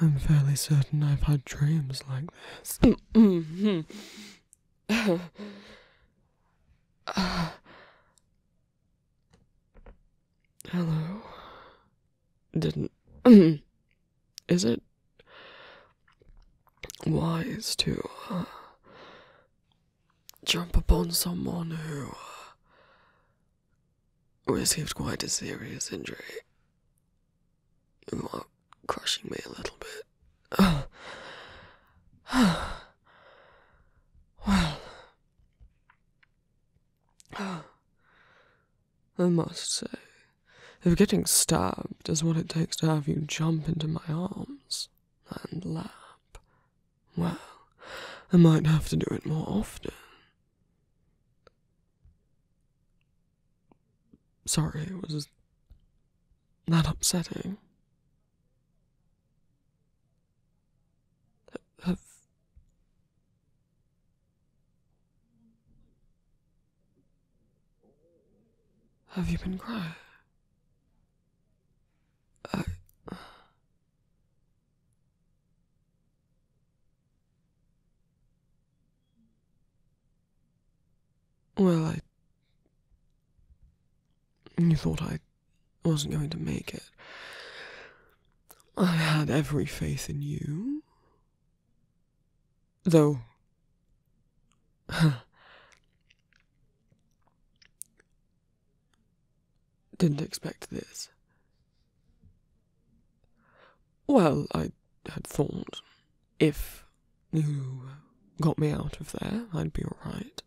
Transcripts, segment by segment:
I'm fairly certain I've had dreams like this. hello. Didn't. Is it wise to uh, jump upon someone who uh, received quite a serious injury? You are crushing me a little bit. Oh. well. I must say, if getting stabbed is what it takes to have you jump into my arms and lap, well, I might have to do it more often. Sorry, it was that upsetting. Have Have you been crying? I well, I. You thought I wasn't going to make it. I had every faith in you. Though. Didn't expect this. Well, I had thought if you got me out of there, I'd be alright.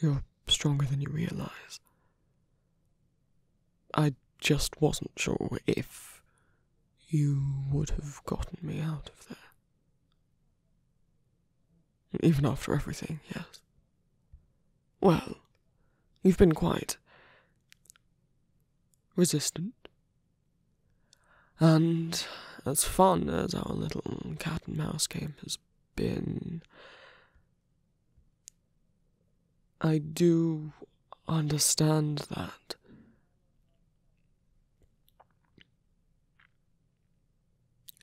You're stronger than you realize. I just wasn't sure if you would have gotten me out of there. Even after everything, yes. Well, you've been quite resistant and as fun as our little cat and mouse game has been, I do understand that.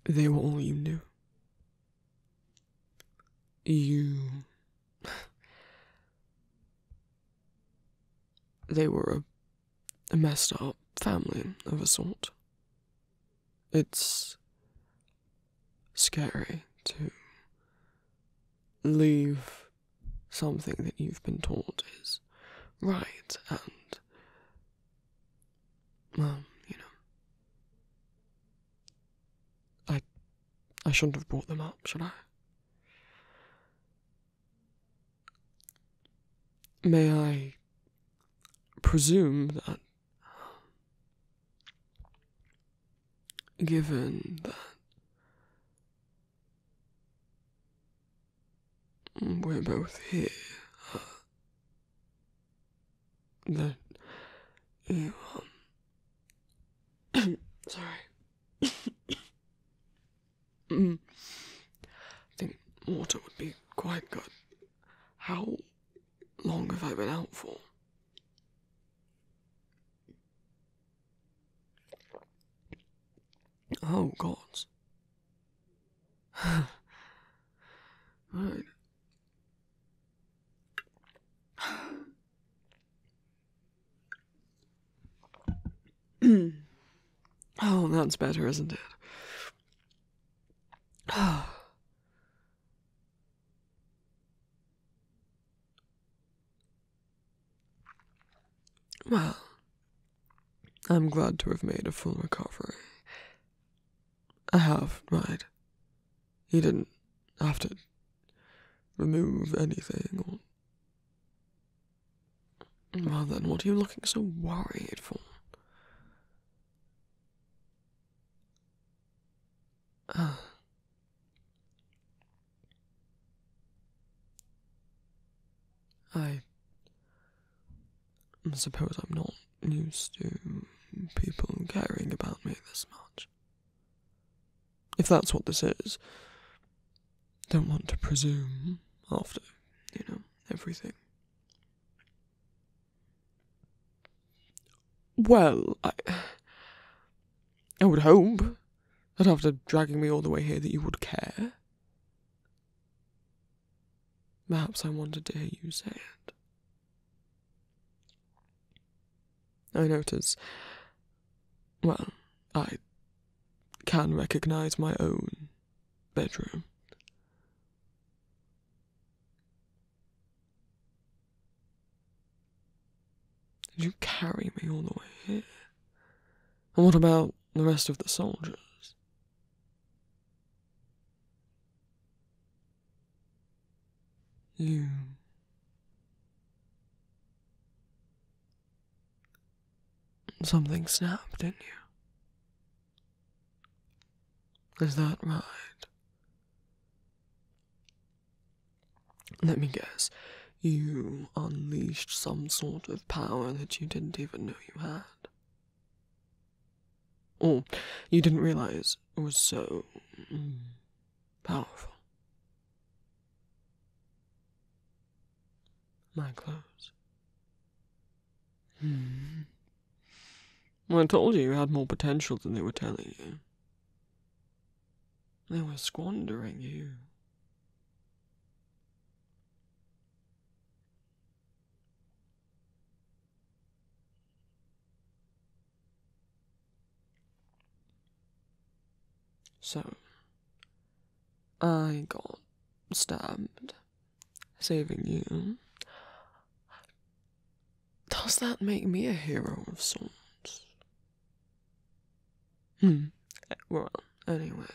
They were all you knew. You. they were a, a messed up family of a sort. It's scary to leave something that you've been taught is right and, well, you know. I, I shouldn't have brought them up, should I? May I presume that, given that we're both here, that you, um, sorry. Mm-hmm. I think water would be quite good. How long have I been out for? Oh, God. right. oh, that's better, isn't it? well, I'm glad to have made a full recovery. I have, right? You didn't have to remove anything well then, what are you looking so worried for? I suppose I'm not used to people caring about me this much if that's what this is. Don't want to presume after, you know, everything. Well, I. would hope that after dragging me all the way here that you would care. Perhaps I wanted to hear you say it. I notice well, I can recognize my own bedroom. Did you carry me all the way here? And what about the rest of the soldiers? You Something snapped in you. Is that right? Let me guess. You unleashed some sort of power that you didn't even know you had. Or you didn't realize it was so mm, powerful. My clothes. Hmm. I told you you had more potential than they were telling you. They were squandering you. So, I got stabbed saving you. Does that make me a hero of sorts? Hmm. Eh, well, anyway.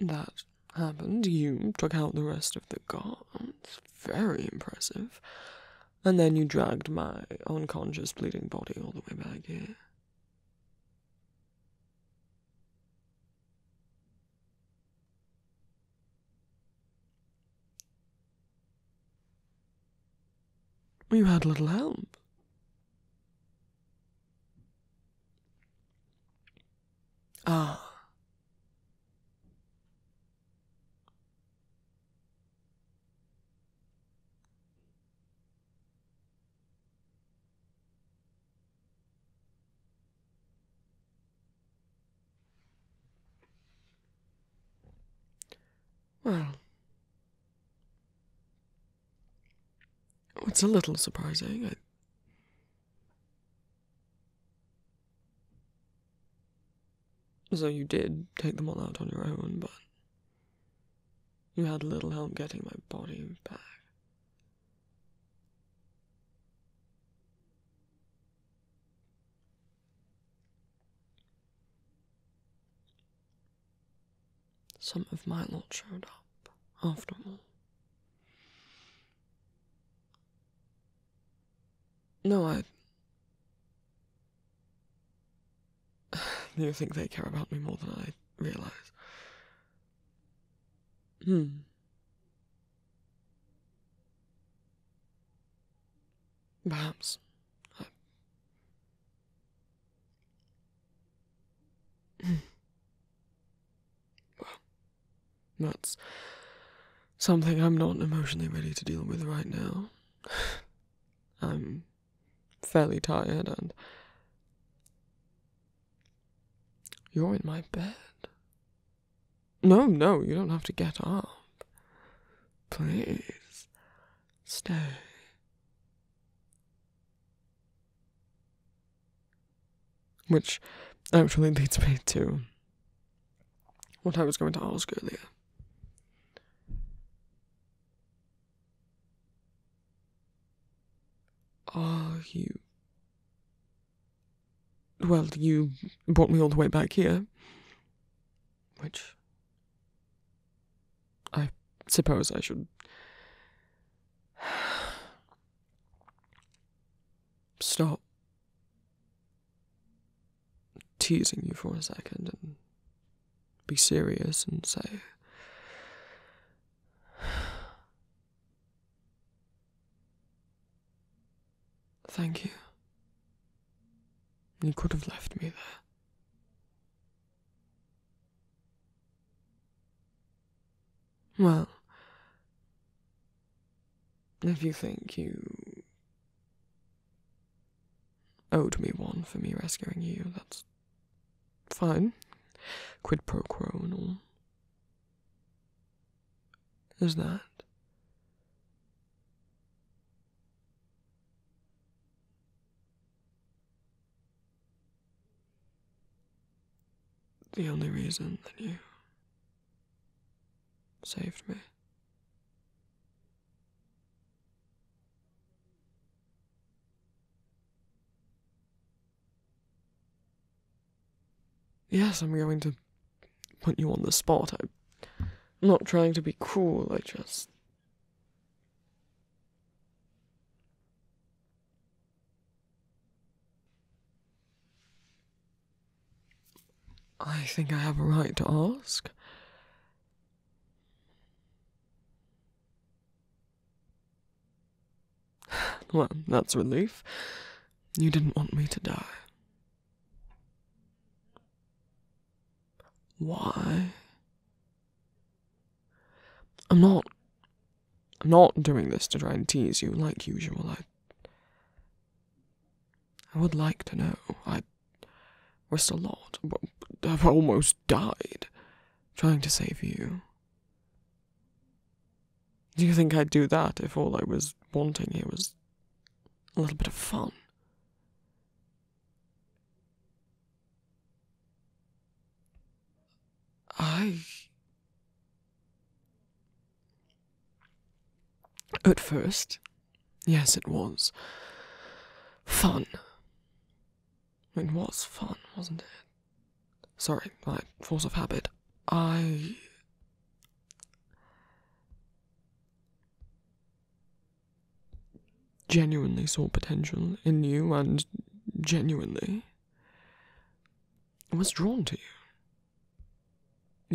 That happened. You took out the rest of the guards. Very impressive. And then you dragged my unconscious, bleeding body all the way back here. You had little help. Ah. Well, it's a little surprising. So you did take them all out on your own, but you had little help getting my body back. Some of my lot showed up, after all. No, I. You think they care about me more than I realize. Hmm. Perhaps. Well, that's something I'm not emotionally ready to deal with right now. I'm fairly tired and. You're in my bed. No, no, you don't have to get up. Please, stay. Which actually leads me to what I was going to ask earlier. Are you. Well, you brought me all the way back here, which I suppose I should stop teasing you for a second and be serious and say, Thank you. You could have left me there. Well, if you think you owed me one for me rescuing you, that's fine. Quid pro quo and all. Is that? The only reason that you saved me. Yes, I'm going to put you on the spot. I'm not trying to be cruel, I just. I think I have a right to ask. Well, that's relief. You didn't want me to die. Why? I'm not I'm not doing this to try and tease you like usual. I I would like to know. I risked a lot. I've almost died trying to save you. Do you think I'd do that if all I was wanting here was a little bit of fun? I at first, yes, it was fun. It was fun, wasn't it? Sorry, my force of habit. I. genuinely saw potential in you and genuinely I was drawn to you.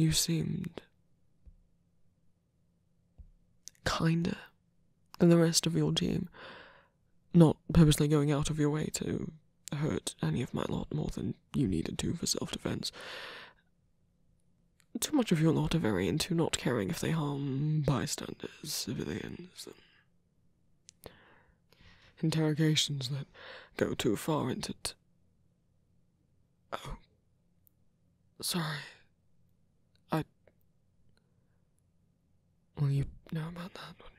You seemed kinder than the rest of your team, not purposely going out of your way to hurt any of my lot more than you needed to for self defense. Too much of your lot are very into not caring if they harm bystanders, civilians, Interrogations that go too far into. it? oh. Sorry. I. Well, you know about that, wouldn't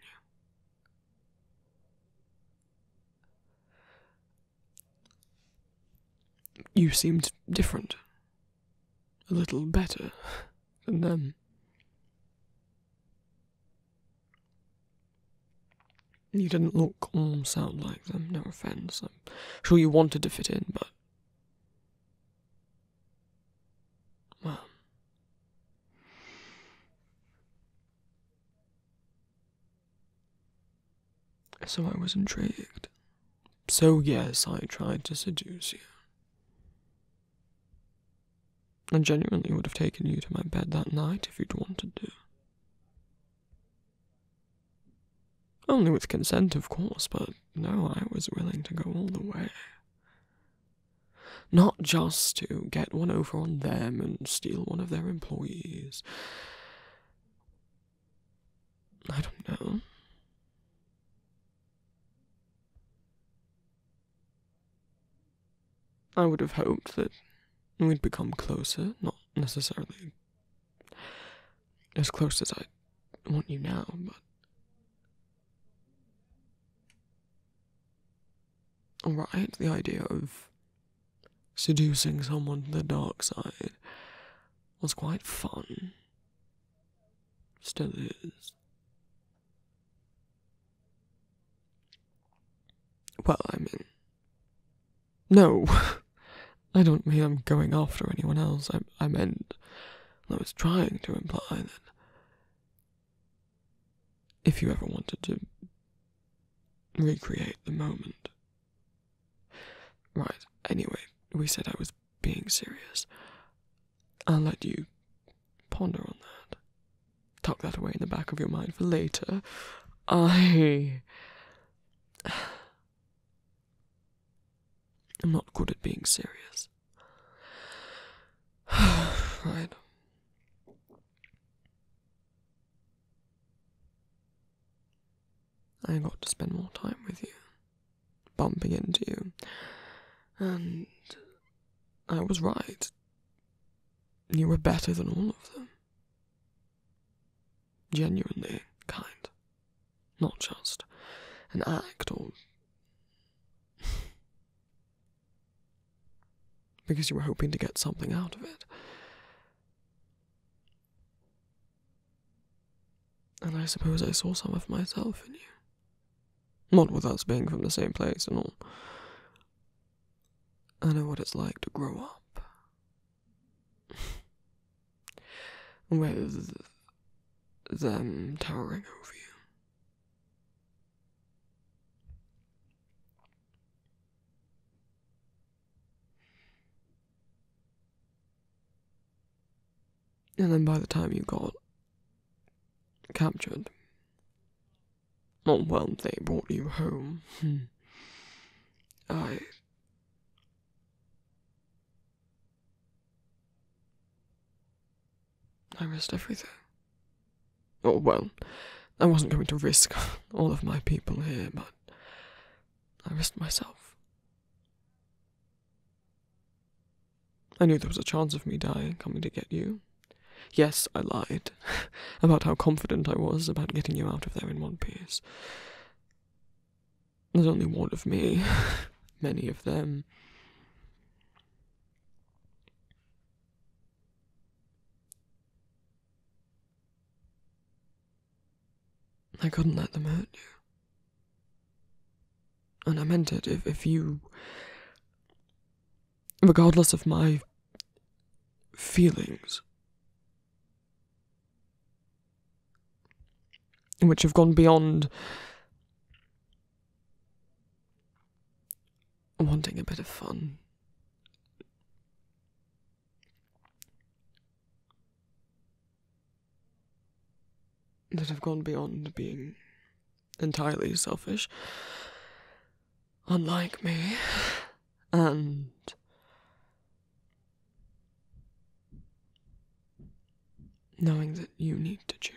you? you seemed different, a little better than them. You didn't look or sound like them, no offense. I'm sure you wanted to fit in, but. Well. So I was intrigued. So, yes, I tried to seduce you. I genuinely would have taken you to my bed that night if you'd wanted to. Only with consent, of course, but no, I was willing to go all the way. Not just to get one over on them and steal one of their employees. I don't know. I would have hoped that we'd become closer, not necessarily as close as I want you now, but. Alright, the idea of seducing someone to the dark side was quite fun. Still is. Well, I mean, no, I don't mean I'm going after anyone else. I, I meant, I was trying to imply that if you ever wanted to recreate the moment. Right, anyway, we said I was being serious. I'll let you Ponder on that. Tuck that away in the back of your mind for later. I. am not good at being serious. right. I got to spend more time with you, bumping into you, and I was right. You were better than all of them. Genuinely kind. Not just an act or. because you were hoping to get something out of it. And I suppose I saw some of myself in you. Not without us being from the same place and all. I know what it's like to grow up. With them towering over you. And then by the time you got captured, Oh, well, they brought you home. Hmm. I. I risked everything. Oh, well, I wasn't going to risk all of my people here, but I risked myself. I knew there was a chance of me dying coming to get you. Yes, I lied about how confident I was about getting you out of there in one piece. There's only one of me, many of them. I couldn't let them hurt you. And I meant it. If, if you regardless of my feelings, in which have gone beyond wanting a bit of fun. That have gone beyond being entirely selfish, unlike me, and knowing that you need to choose.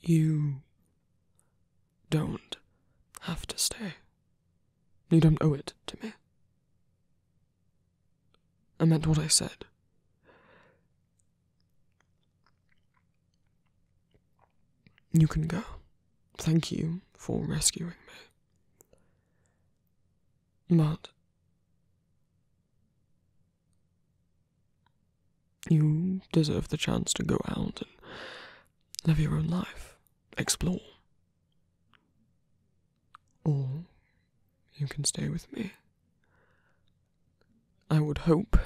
You don't have to stay. You don't owe it to me. I meant what I said. You can go. Thank you for rescuing me. But you deserve the chance to go out and live your own life, explore. Or you can stay with me. I would hope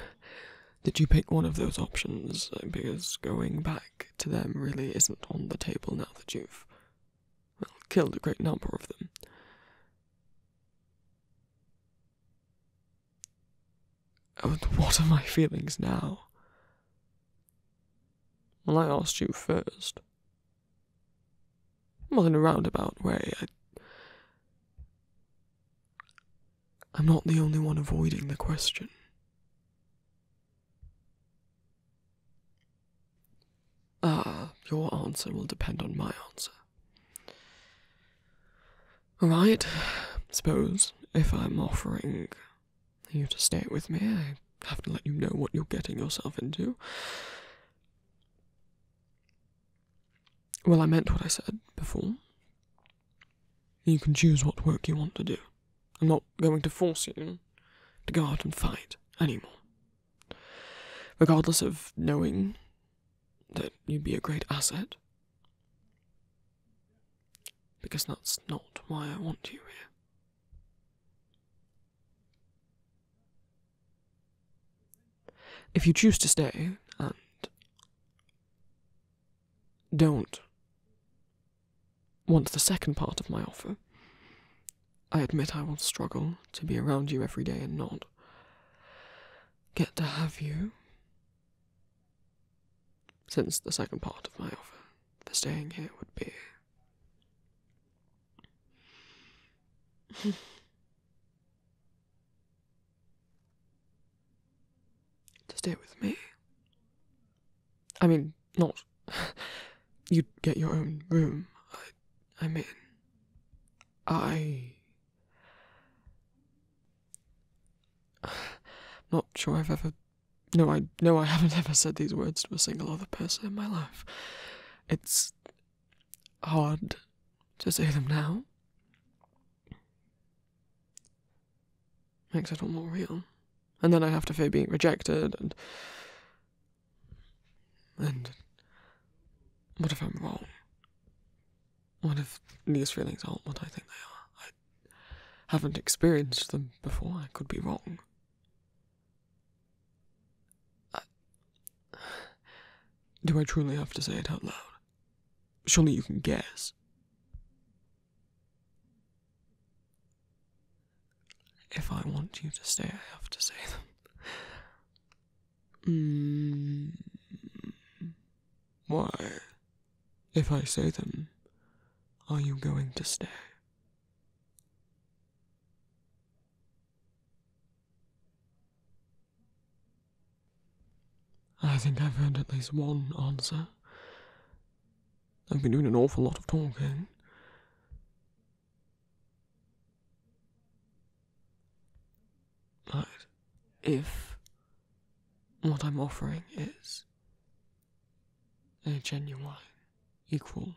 that you pick one of those options uh, because going back to them really isn't on the table now that you've killed a great number of them. Oh, what are my feelings now? Well, I asked you first. Well, in a roundabout way, I I'm not the only one avoiding the question. Ah, your answer will depend on my answer. Right, suppose if I'm offering you to stay with me, I have to let you know what you're getting yourself into. Well, I meant what I said before. You can choose what work you want to do. I'm not going to force you to go out and fight anymore. Regardless of knowing that you'd be a great asset. Because that's not why I want you here. If you choose to stay and don't want the second part of my offer, I admit I will struggle to be around you every day and not get to have you. Since the second part of my offer for staying here would be to stay with me? I mean, not. You'd get your own room. I, mean, I. Not sure I've ever. No, I no, I haven't ever said these words to a single other person in my life. It's hard to say them now. Makes it all more real. And then I have to fear being rejected and. And. What if I'm wrong? What if these feelings aren't what I think they are? I haven't experienced them before. I could be wrong. Do I truly have to say it out loud? Surely you can guess. If I want you to stay, I have to say them. Hmm. Why? If I say them, are you going to stay? I think I've heard at least one answer. I've been doing an awful lot of talking. but If what I'm offering is a genuine, equal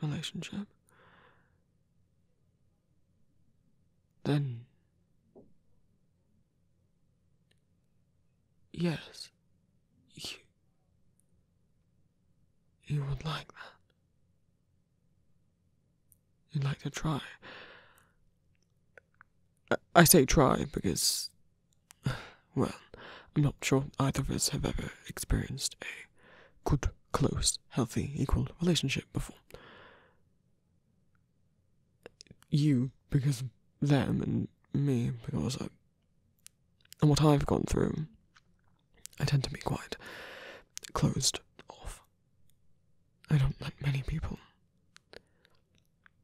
relationship, then. Yes. You. You would like that. You'd like to try. I, I say try because. Well, I'm not sure either of us have ever experienced a good, close, healthy, equal relationship before you because of them and me because of and what I've gone through, I tend to be quite closed off. I don't let many people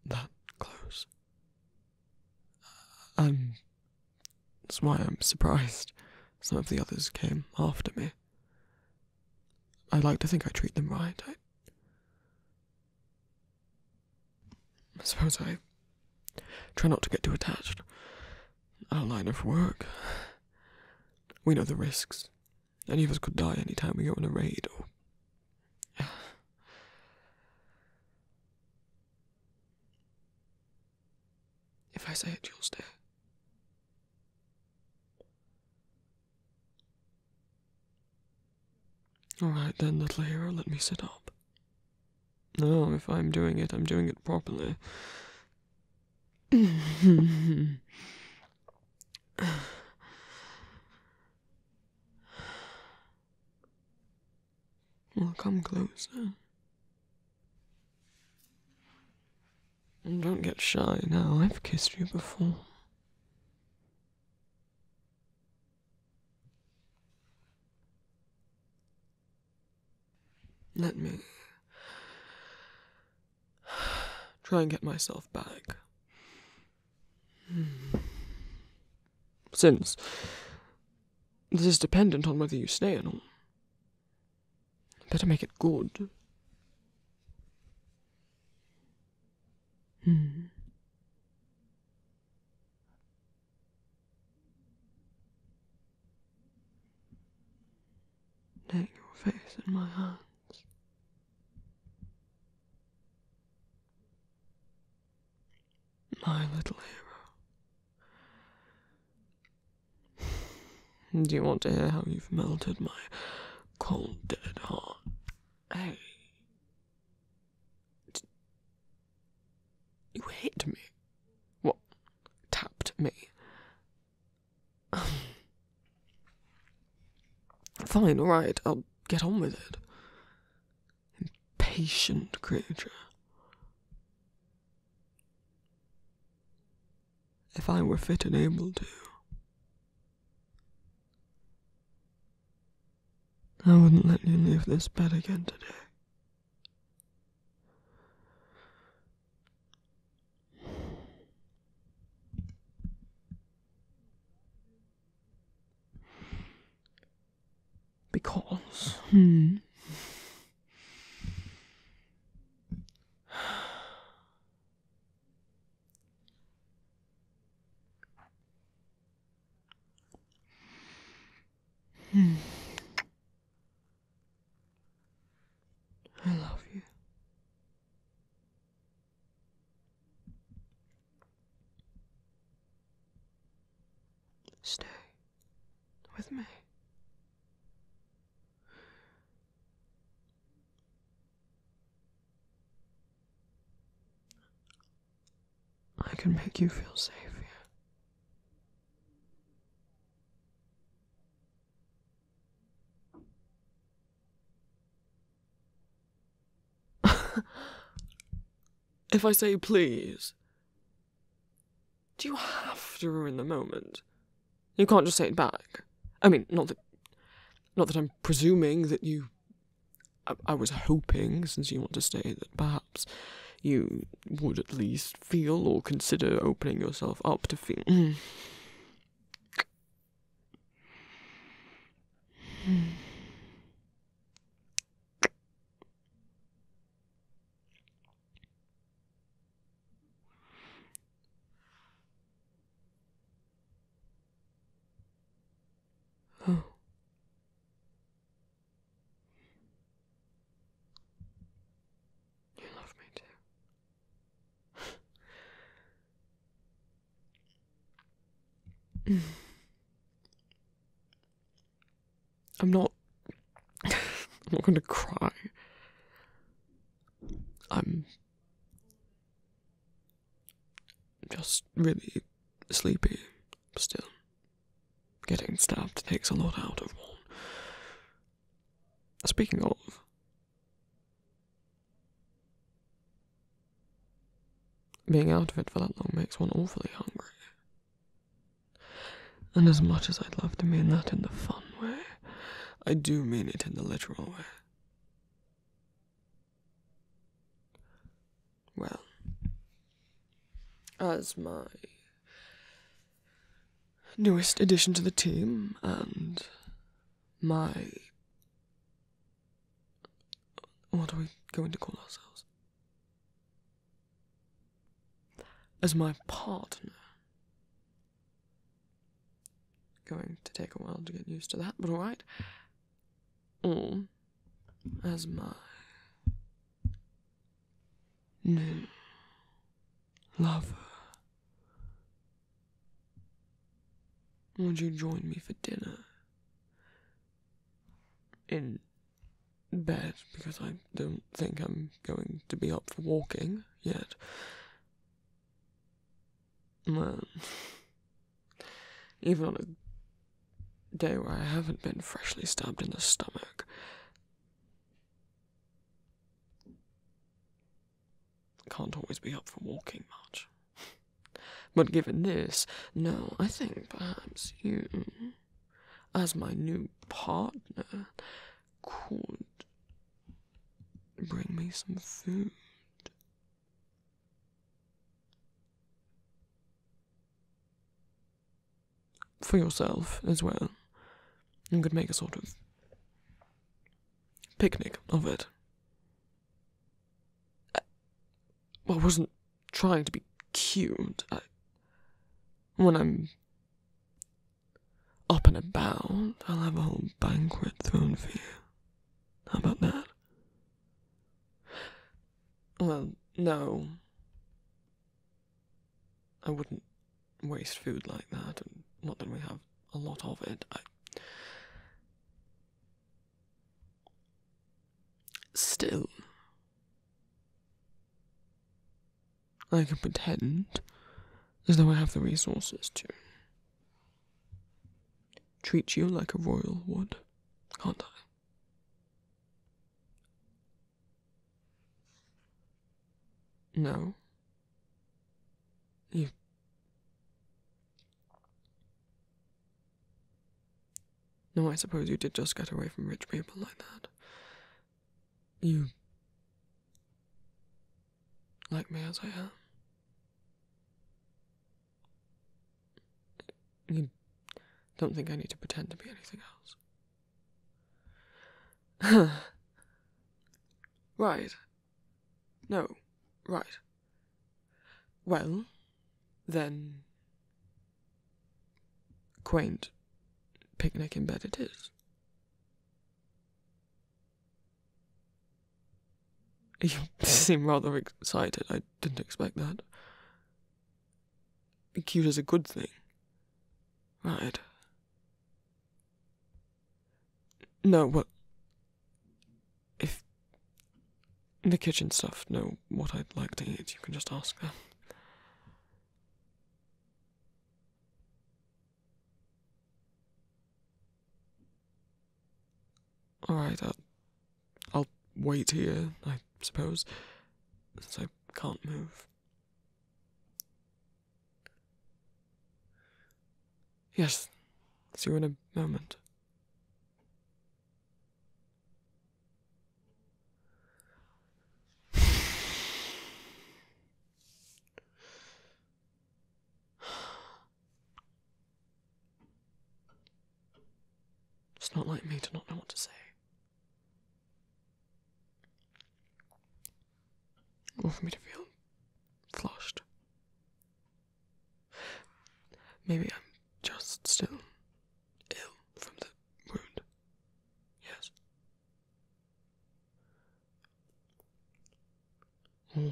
that close. And um, that's why I'm surprised some of the others came after me. I like to think I treat them right. I, suppose I try not to get too attached. Our line of work. We know the risks. Any of us could die any time we go on a raid or. If I say it, you'll stare. Alright then, little hero, let me sit up. No, if I'm doing it, I'm doing it properly. well, come closer don't get shy now, I've kissed you before. Let me try and get myself back. Hmm. Since this is dependent on whether you stay or not, better make it good. Hmm. Take your face in my hands. My little hero. Do you want to hear how you've melted my cold, dead heart? Hey. you hit me. What? Tapped me. Fine, alright, I'll get on with it. Impatient creature if I were fit and able to. I wouldn't let you leave this bed again today. Because, hmm. Hmm. I love you. Stay with me. I can make you feel safe here. if I say please, do you have to ruin the moment? You can't just say it back. I mean, not that, not that I'm presuming that you. I, I was hoping, since you want to stay, that perhaps you would at least feel or consider opening yourself up to feel. Hmm. Oh. You love me too. I'm not. I'm not going to cry. I'm just really sleepy still. Getting stabbed takes a lot out of one. Speaking of, being out of it for that long makes one awfully hungry. And as much as I'd love to mean that in the fun way, I do mean it in the literal way. Well, as my newest addition to the team and my. What are we going to call ourselves? As my partner, Going to take a while to get used to that, but alright. Or as my new lover. Would you join me for dinner? In bed, because I don't think I'm going to be up for walking yet. Well, even on a day where I haven't been freshly stabbed in the stomach, can't always be up for walking much. But given this, no, I think perhaps you, as my new partner, could Bring me some food. For yourself as well. You could make a sort of picnic of it. I, wasn't trying to be cute. when I'm up and about, I'll have a whole banquet thrown for you. How about that? Well, no. I wouldn't waste food like that, not that we have a lot of it. Still, I can pretend as though I have the resources to treat you like a royal would, can't I? No. You. No, I suppose you did just get away from rich people like that. You like me as I am. You don't think I need to pretend to be anything else? right. No, right. Well, then. Quaint picnic in bed it is. You seem rather excited. I didn't expect that. Cute is a good thing. Right. No, what? If the kitchen stuff know what I'd like to eat, you can just ask them. All right, wait here, I suppose, since I can't move. Yes, see you in a moment. It's not like me to not know what to say. Or for me to feel flushed. Maybe I'm just still ill from the wound. Yes. Hmm.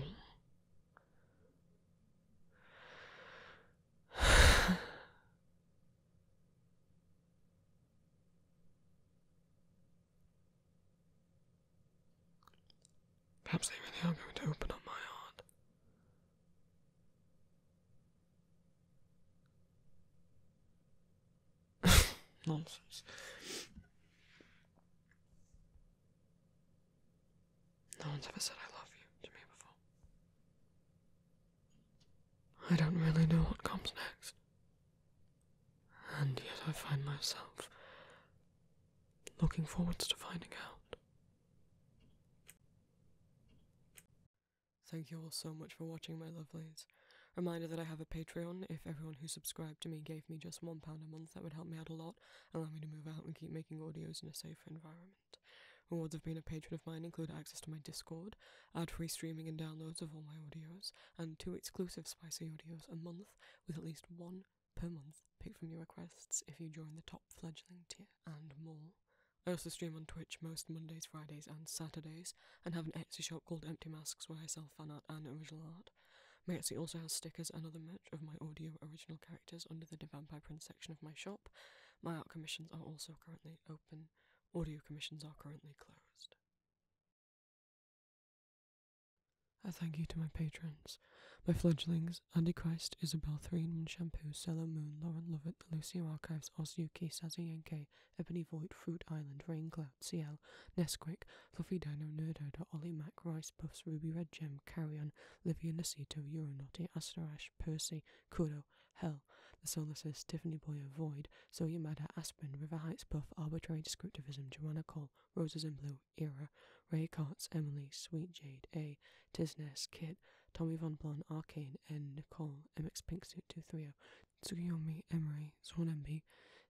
Perhaps they really are going to open up my heart. Nonsense. No one's ever said I love you to me before. I don't really know what comes next. And yet I find myself looking forwards to finding out. Thank you all so much for watching, my lovelies. Reminder that I have a Patreon if everyone who subscribed to me gave me just £1 a month that would help me out a lot and allow me to move out and keep making audios in a safer environment. Rewards of being a patron of mine include access to my Discord, ad free streaming and downloads of all my audios, and two exclusive spicy audios a month with at least one per month picked from your requests if you join the top fledgling tier, and more. I also stream on Twitch most Mondays, Fridays, and Saturdays, and have an Etsy shop called Empty Masks where I sell fan art and original art. Mercy also has stickers and other merch of my audio original characters under the Divan by Print section of my shop. My art commissions are also currently open. Audio commissions are currently closed. A thank you to my patrons, my fledglings, Andy Christ, Isabel Threen, Shampoo, Cello Moon, Lauren Lovett, The Lucy Archives, Osuki, Sazayenke, Ebony Void, Fruit Island, Rain Glare, CL, Nesquik, Fluffy Dino, Nerdoda, Ollie Mac, Rice Puffs, Ruby Red Gem, Carrion, Livia Nasito, Euronauty, Asterash, Percy, Kudo, Hell, The Solaces, Tiffany Boyer, Void, So Yamada, Aspen, River Heights Buff, Arbitrary Descriptivism, Joanna Cole, Roses in Blue, Era, Ray Cots, Emily, Sweet Jade, A, Tisnes, Kit, Tommy Von Blonde, Arcane, N, Nicole, MX Pinksuit 230, Tsukiyomi, Emery, Eye, Swan MB,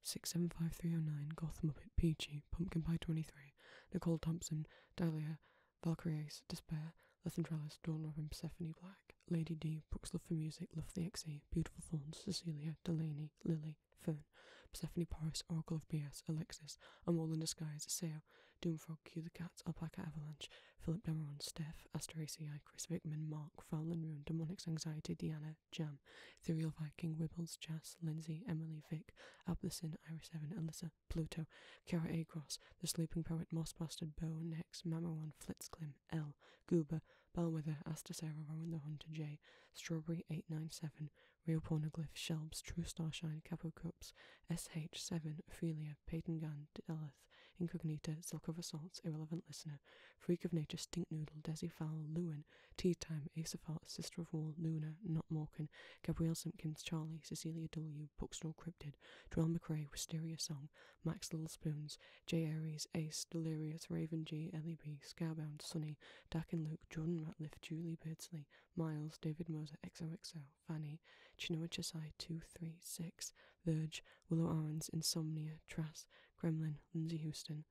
675309, Goth Muppet, Peachy, Pumpkin Pie 23, Nicole Thompson, Dahlia, Valkyrie Despair, Lethen Trellis, Dawn Robin, Persephone Black, Lady D, Brooks Love for Music, Love the XE, Beautiful Thorns, Cecilia, Delaney, Lily, Fern, Persephone Paris, Oracle of BS, Alexis, A Mole in Disguise, Sale, Doomfrog, Cue the Cats, Alpaca Avalanche, Philip Demerone Steph, Asteraceae, Chris Wickman Mark, Foul and Ruin, Demonics Anxiety, Deanna, Jam, Jan, Thuriel Viking, Wibbles, Jas, Lindsay, Emily, Vic, Ablesin, Iris Seven, Alyssa, Pluto, Kara, A. Gross, The Sleeping Poet, Moss Bow, Next, Nex, One, Flitzclim, L, Goober, Bellwether, Astasera, Rowan the Hunter, J, Strawberry 897, Real Pornoglyph, Shelbs, True Starshine, Capo Cups, SH7, Afilia, Peyton Gan, Delith, Incognita, Silk of Assaults, Irrelevant Listener, Freak of Nature, Stinknoodle, Desi Fowl, Lewin, Owen, Tea Time, Asaphalt, Sister of Wall, Luna, Not Morgan, Gabrielle Simpkins, Charlie, Cecilia W., Bookstore Cryptid, Joel McRae, Wisteria Song, Max LittleSpoons. J. Aries, Ace, Delirious, Raven G, Ellie B, Scarbound, Sunny, Dakin. Luke, Jordan Ratliff, Julie Beardsley, Miles, David Moser, XOXO, Fanny, Chinua Chasai, 236, Verge, Willow Arons, Insomnia, Trass, Kremlin. Lindsay Houston,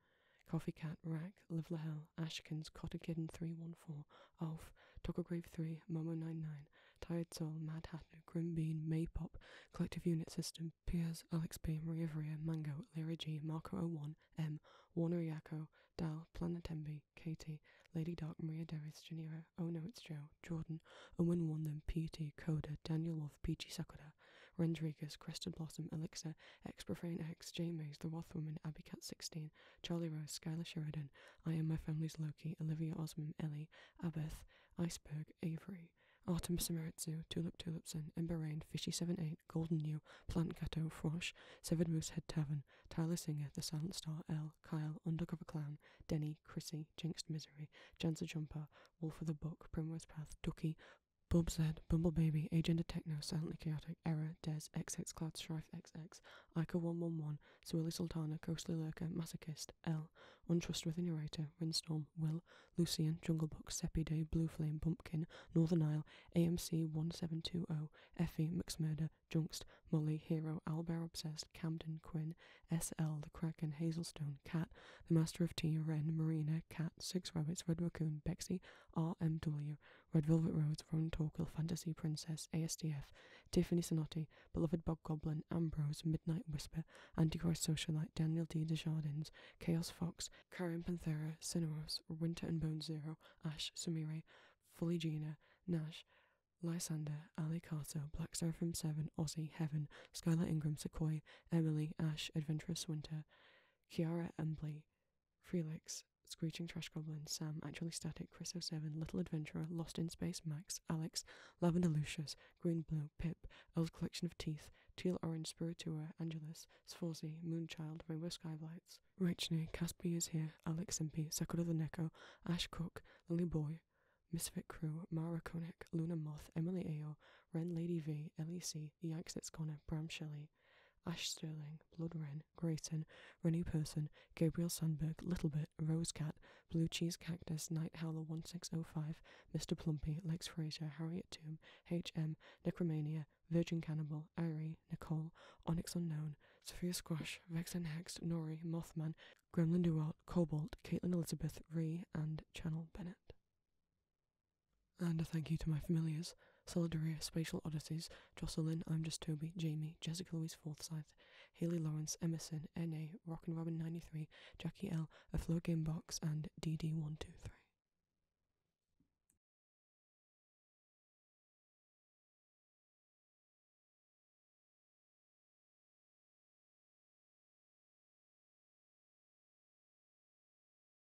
Coffee Cat, Rack, Live hell Ashkins, Cotter Kitten 314, Alf, Toggergrave 3, Momo99, Tired Soul, Mad hat Grim Bean, Maypop, Collective Unit System, Piers, Alex B, Maria vera Mango, Lyra G, Marco01, M, Warner Yako, Dal, Planetembi, Katie, Lady Dark, Maria Darius, Janira, Oh No It's Joe, Jordan, Owen them PT, Coda, Daniel Love, Peachy Sakura, Rendriguez, Crested Blossom, Elixir, Ex-Profane X, J-Maze, The Wath Woman, Abby Cat 16, Charlie Rose, Skylar Sheridan, I Am My Family's Loki, Olivia Osman, Ellie, Abeth, Iceberg, Avery, Artemis Samaritsu, Tulip Tulipson, Ember Rain, Fishy78, Golden New, Plant Cato, Frosh, Severed Head Tavern, Tyler Singer, The Silent Star, L, Kyle, Undercover Clown, Denny, Chrissy, Jinxed Misery, Janser Jumper, Wolf of the Book, Primrose Path, Ducky, Bub said, Bumble Baby, Agent of Techno, Silently Chaotic, Error, Des, XX Cloud, Strife XX, Ica 111, Sueli Sultana, Ghostly Lurker, Masochist, L, Untrustworthy Narrator, Windstorm, Will, Lucian, Jungle Book, Seppi Day, Blue Flame, Bumpkin, Northern Isle, AMC 1720, Effie, McMurder, Junkst, Molly, Hero, Owlbear Obsessed, Camden, Quinn, SL, The Kraken, Hazelstone, Cat, The Master of Tea, Wren, Marina, Cat, Six Rabbits, Red Raccoon, Bexy, RMW, Red Velvet Roads, Ronan Torquil, Fantasy Princess, ASDF, Tiffany Sonotti, Beloved Bog Goblin, Ambrose, Midnight Whisper, Antichrist Socialite, Daniel D. Desjardins, Chaos Fox, Karen Panthera, Cineros, Winter and Bone Zero, Ash, Sumire, Fully Nash, Lysander, Ali Carter, Black Seraphim 7, Aussie, Heaven, Skylar Ingram, Sequoia, Emily, Ash, Adventurous Winter, Kiara Embley, Felix, Screeching Trash Goblin, Sam, Actually Static, Chris 07, Little Adventurer, Lost in Space, Max, Alex, Lavender Lucius, Green Blue, Pip, Old Collection of Teeth, Teal Orange Spiritua, Angelus, Sforzi, Moonchild, Rainbow Skylights, Rachne, Caspi is here, Alex Impey, Sakura the Neko, Ash Cook, Lily Boy, Misfit Crew, Mara Koenig, Luna Moth, Emily Ao, Ren Lady V, Ellie C, The Yikes It's Corner, Bram Shelley, Ash Sterling, Blood Wren, Grayton, Rennie Person, Gabriel Sandberg, Littlebit, Rose Cat, Blue Cheese Cactus, Night Howler 1605, Mr. Plumpy, Lex Fraser, Harriet Tomb, H.M., Necromania, Virgin Cannibal, Irie, Nicole, Onyx Unknown, Sophia Squash, Vex and Hex, Nori, Mothman, Gremlin Duart, Cobalt, Caitlin Elizabeth, Ree, and Channel Bennett. And a thank you to my familiars Solidaria, Spatial Oddities, Jocelyn, I'm Just Toby, Jamie, Jessica Louise Forsyth, Haley Lawrence, Emerson, N.A., Rock and Robin 93, Jackie L., A Flow Game Box, and D D 123